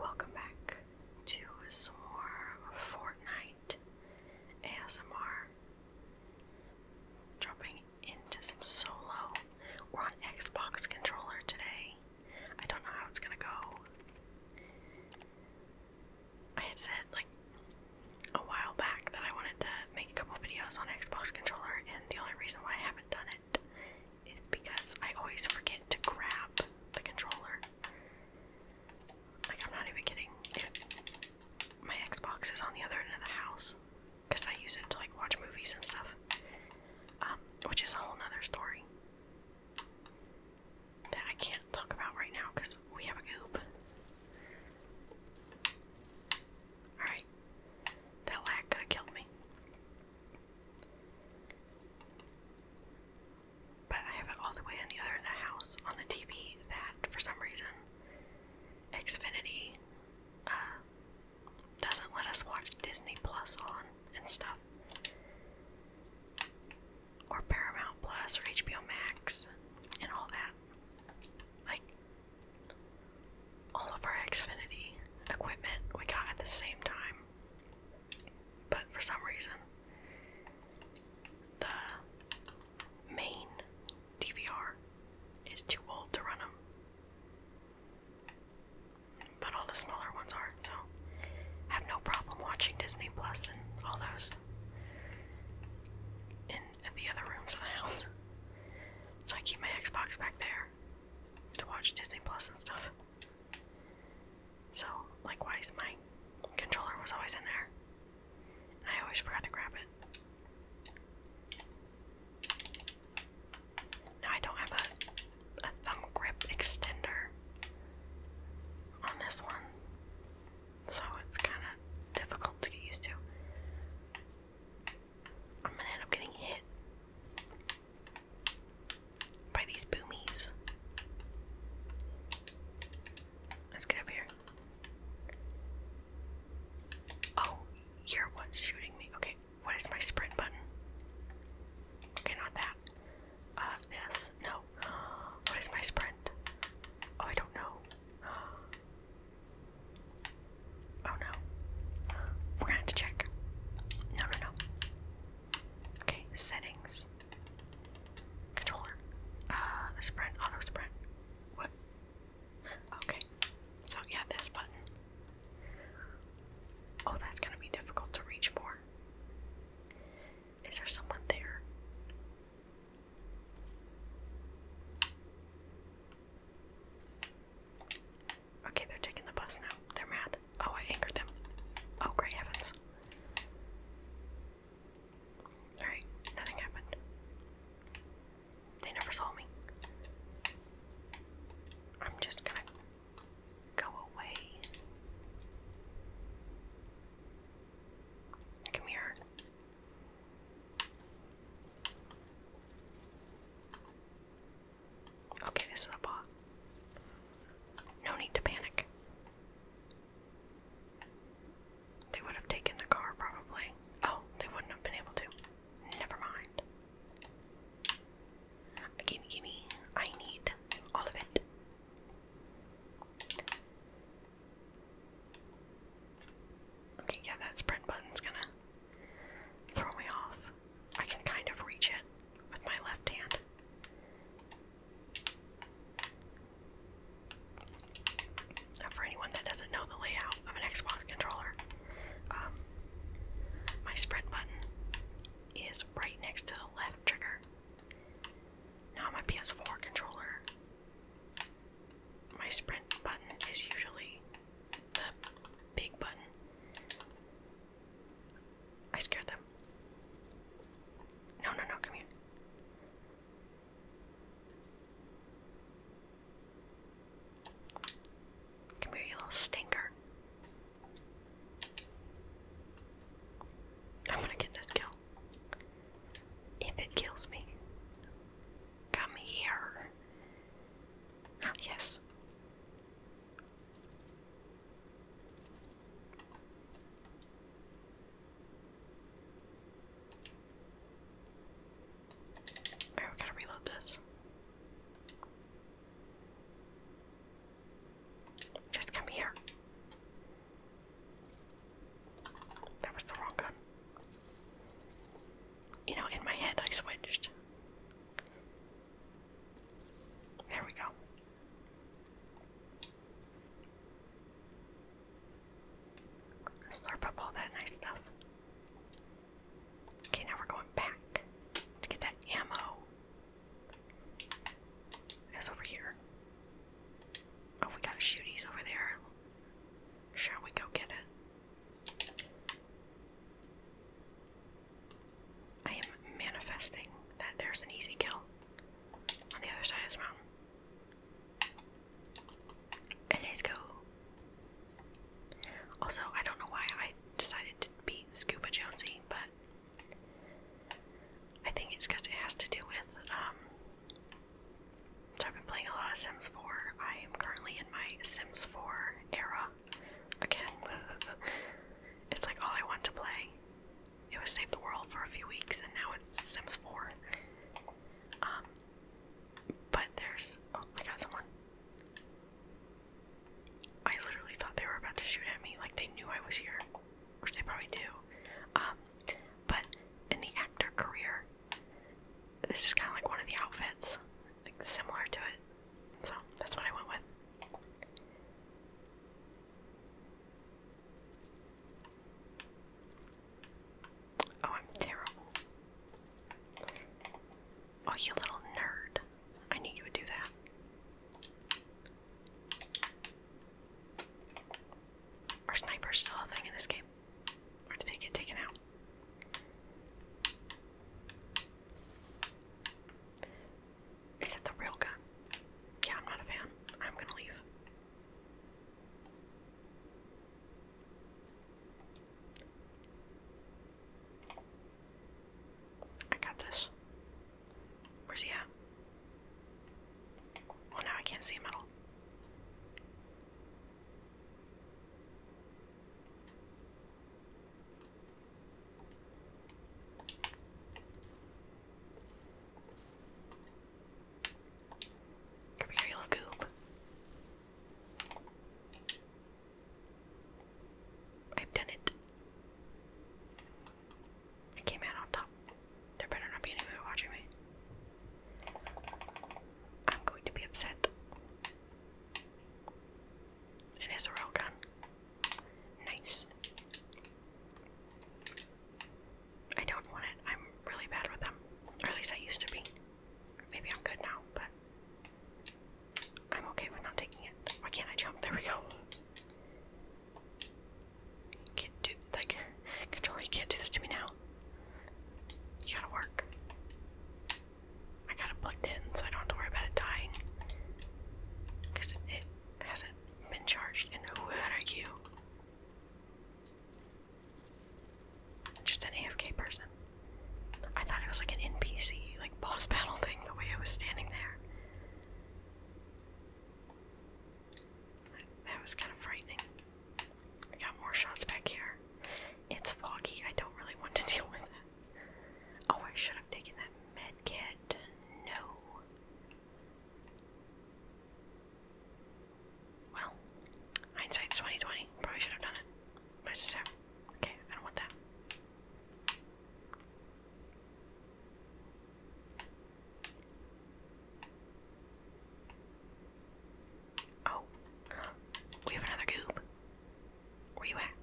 Welcome back to some more Fortnite ASMR. Dropping into some solo. We're on Xbox controller today. I don't know how it's gonna go. I had said like a while back that I wanted to make a couple videos on Xbox controller, and the only reason why I haven't done it is because I always forget to grab the controller. Like, I'm not even kidding. my Xbox is on the other end of the house because I use it to like watch movies and stuff, um, which is a whole nother story that I can't talk about right now because we have a goop. Alright, that lag could have killed me. But I have it all the way on the other end of the house on the TV that, for some reason, Xfinity uh, doesn't let us watch Disney Plus on and stuff. Or Paramount Plus or HBO Max and all that. Like, all of our Xfinity equipment we got at the same time. But for some reason, the main DVR is too old to run them. But all the smaller ones are, so have no problem watching Disney Plus and all those in the other rooms of the house. So I keep my Xbox back there to watch Disney Plus and stuff. So, likewise, my controller was always in there, and I always forgot to grab it. Now I don't have a, thumb grip extender on this one, so it's kind of difficult to get used to. I'm gonna end up getting hit by these boomies. Let's get up here. Oh, you're what's shooting me. Okay, what is my sprint button? Okay, not that. Uh, this. No. What is my sprint? Oh, I don't know. Oh no. We're gonna have to check. No, no, no. Okay, settings. Controller. Uh, sprint, auto sprint. What? Okay. So, yeah, this button. Oh, that's gonna be difficult to reach for. Is there someone there? Okay, they're taking the bus now. They're mad. Oh, I angered them. Oh, great heavens. Alright, nothing happened. They never saw me. I'm just gonna go away. Come here. Okay, this is a bot. No need to panic. They would have taken the car probably. Oh, they wouldn't have been able to. Never mind. Gimme, gimme. I need all of it. Okay, yeah, that sprint button's gonna throw me off. I can kind of reach it with my left hand. Now, for anyone that doesn't know the layout of an Xbox controller, um, my sprint button is right next to the left trigger. Now, my PS4 controller, my sprint button is usually the big button. I scared them. No, no, no, come here. Come here, you little stinker. I'm gonna get this kill. If it kills me. Come here. Oh, yes. Alright, we gotta reload this. Just come here. That was the wrong gun you know, in my head I switched. There we go. Slurp up all that nice stuff. Okay, now we're going back to get that ammo. It over here. Oh, we got shooties over there. Shall we go get it? I am manifesting that there's an easy kill on the other side of this mountain. let's go. Also, I don't know why I decided to be Scuba Jonesy, but I think it's because it has to do with um, so I've been playing a lot of Sims 4. I am currently in my Sims 4 era again. it's like all I want to play. It was Save the World for a few weeks and now it's Sims 4. Um, but there's. Oh, I got someone. I literally thought they were about to shoot at me, like they knew I was here, which they probably do. Um, but in the actor career, this is kind of like one of the outfits, like similar to it. So that's what I went with. Oh, I'm terrible. Oh, you little nerd. I knew you would do that. Are snipers still a thing in this game? Where did they get taken out? Is that the real gun? Yeah, I'm not a fan. I'm gonna leave. I got this. Where's he at? Oh no! I can't see him at all. Come here, little goop. I've done it. I came out on top. There better not be anyone watching me. I'm going to be upset. It is a real gun. Nice. I don't want it. I'm really bad with them. at least I used to be. Maybe I'm good now, but I'm okay with not taking it. Why can't I jump? There we go. Can't do like controller. You can't do this to me now. You gotta work. I got it plugged in, so I don't have to worry about it dying. Cause it, hasn't been charged. And who are you? Just an AFK person. I thought it was like an NPC, like boss battle thing. The way I was standing there. That was kind of frightening. We got more shots back here. It's foggy. I don't really want to deal with it. Oh, I should have taken that med kit. No. Well, hindsight's 2020. Probably should have done it. But Okay, I don't want that. Oh, we have another goob. Where you at?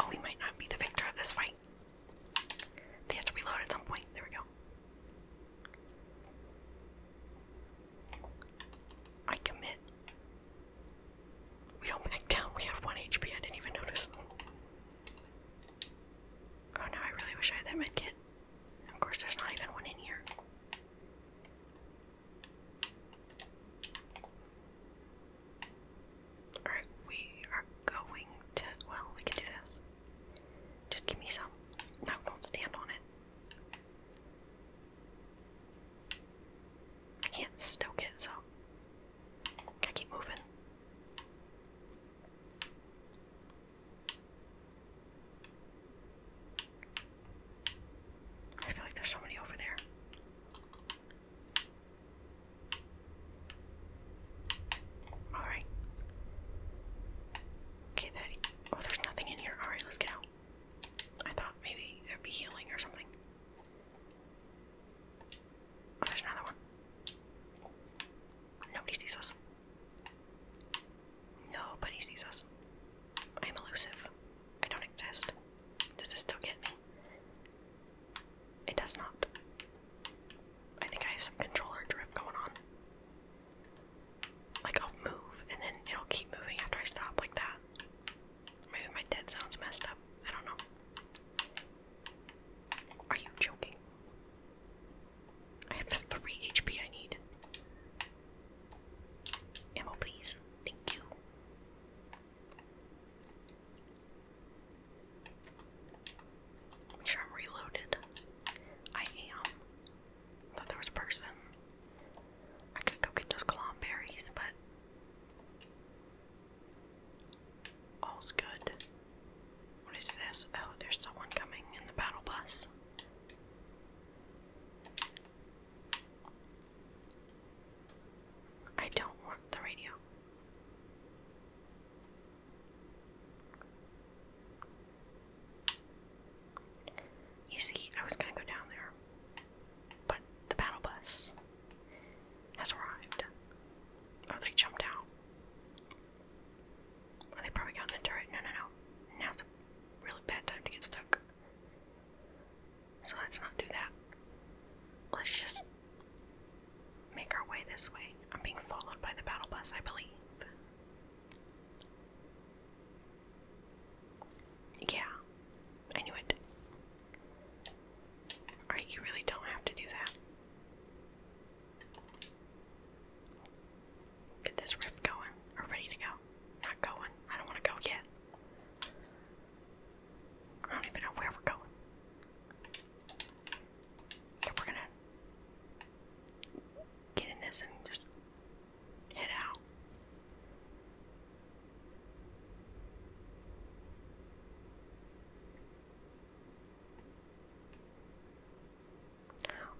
Oh, we might not be the victor of this fight. They have to reload at some point. There we go. I commit. We don't back down. We have one HP. I didn't even notice. Oh no, I really wish I had that med kit. Of course, there's not even one in here. Alright, we are going to. Well, we can do this. Just give me some. No, don't stand on it. I can't stoke it, so gotta keep moving. I feel like there's somebody over there. Alright. Okay, that. Oh, there's nothing in here. Alright, let's get out. I thought maybe there'd be healing or something. Oh, there's another one. Nobody sees us. Nobody sees us. I'm elusive. I don't exist. Does this still get me? It does not. I think I have some controller drift going on like I'll move and then it'll keep moving after I stop like that. Maybe my dead zone's messed up. I don't know. Are you joking? I have three HP I need. Ammo Thank you. Make sure I'm reloaded. I am. I thought there was a person. I could go get those clown but all's good. What is this? Oh, there's someone coming in the battle bus. I don't want the radio. You see, I was gonna go down there, but the battle bus has arrived. Oh, they jumped out. Well, oh, they probably got in the turret. No, no, no. Now's a really bad time to get stuck. So let's not do that. Let's just make our way this way. I'm being followed by the battle bus, I believe. Yeah, I knew it. Alright, you really don't have to do that. Get this rift going. Or ready to go. Not going. I don't want to go yet. I don't even know where we're going. we're gonna get in this and just head out.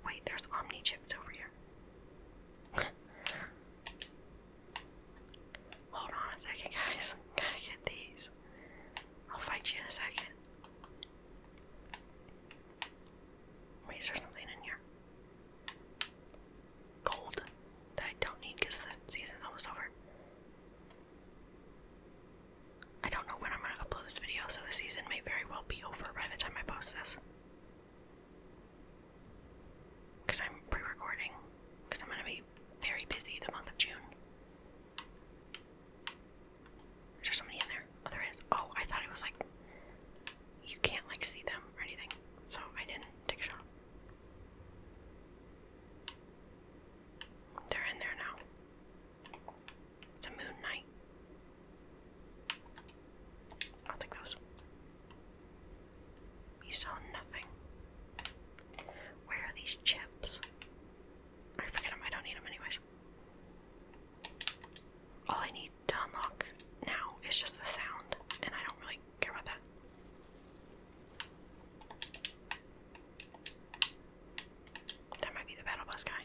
Wait, there's Omni chips over here. Hold on a second, guys. Gotta get these. I'll fight you in a second. Wait, is something in here? Gold that I don't need because the season's almost over. I don't know when I'm going to upload this video, so the season may very well be over by the time I post this. Because I'm pre recording, because I'm going to be very busy the month of June. Is there somebody in there? Oh, there is. Oh, I thought it was like you can't like see them or anything, so I didn't take a shot. They're in there now. It's a moon night. I'll those. You saw nothing. Where are these chips? I forget them. I don't need them anyways all I need to unlock now is just the sound, and I don't really care about that. That might be the battle bus guy.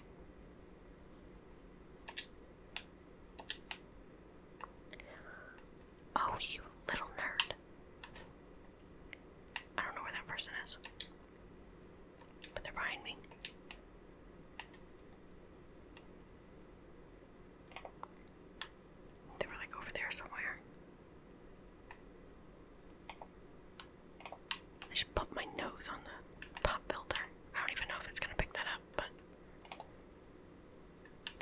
Oh, you little nerd. I don't know where that person is. But they're behind me. They were like over there somewhere. I should put my nose on the pop filter. I don't even know if it's gonna pick that up, but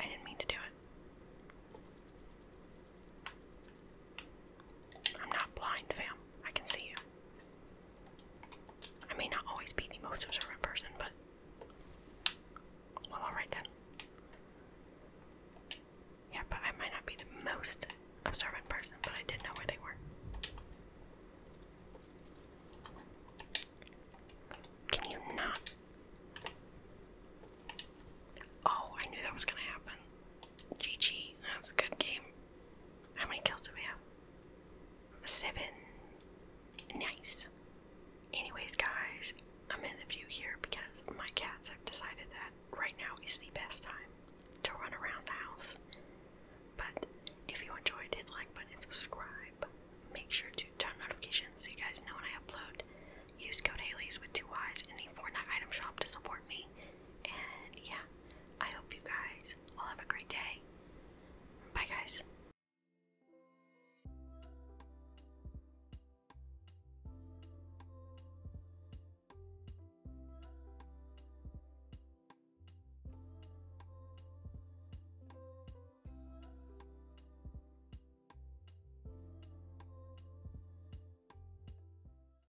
I didn't mean to do it. I'm not blind, fam. I can see you. I may not always be the most observant person, but. Well, alright then. Yeah, but I might not be the most observant person, but I did know where they were. Can you not? Oh, I knew that was gonna happen. GG, that's a good game. How many kills do we have? Seven. Nice. Anyways, guys, I'm in the view here because my cats have decided that right now is the best time to run around the house. But if you enjoyed, hit like button and subscribe. Make sure to turn notifications so you guys know when I upload. Use code Haley's with two Y's in the Fortnite item shop to support me. And yeah, I hope you guys all have a great day. Bye, guys.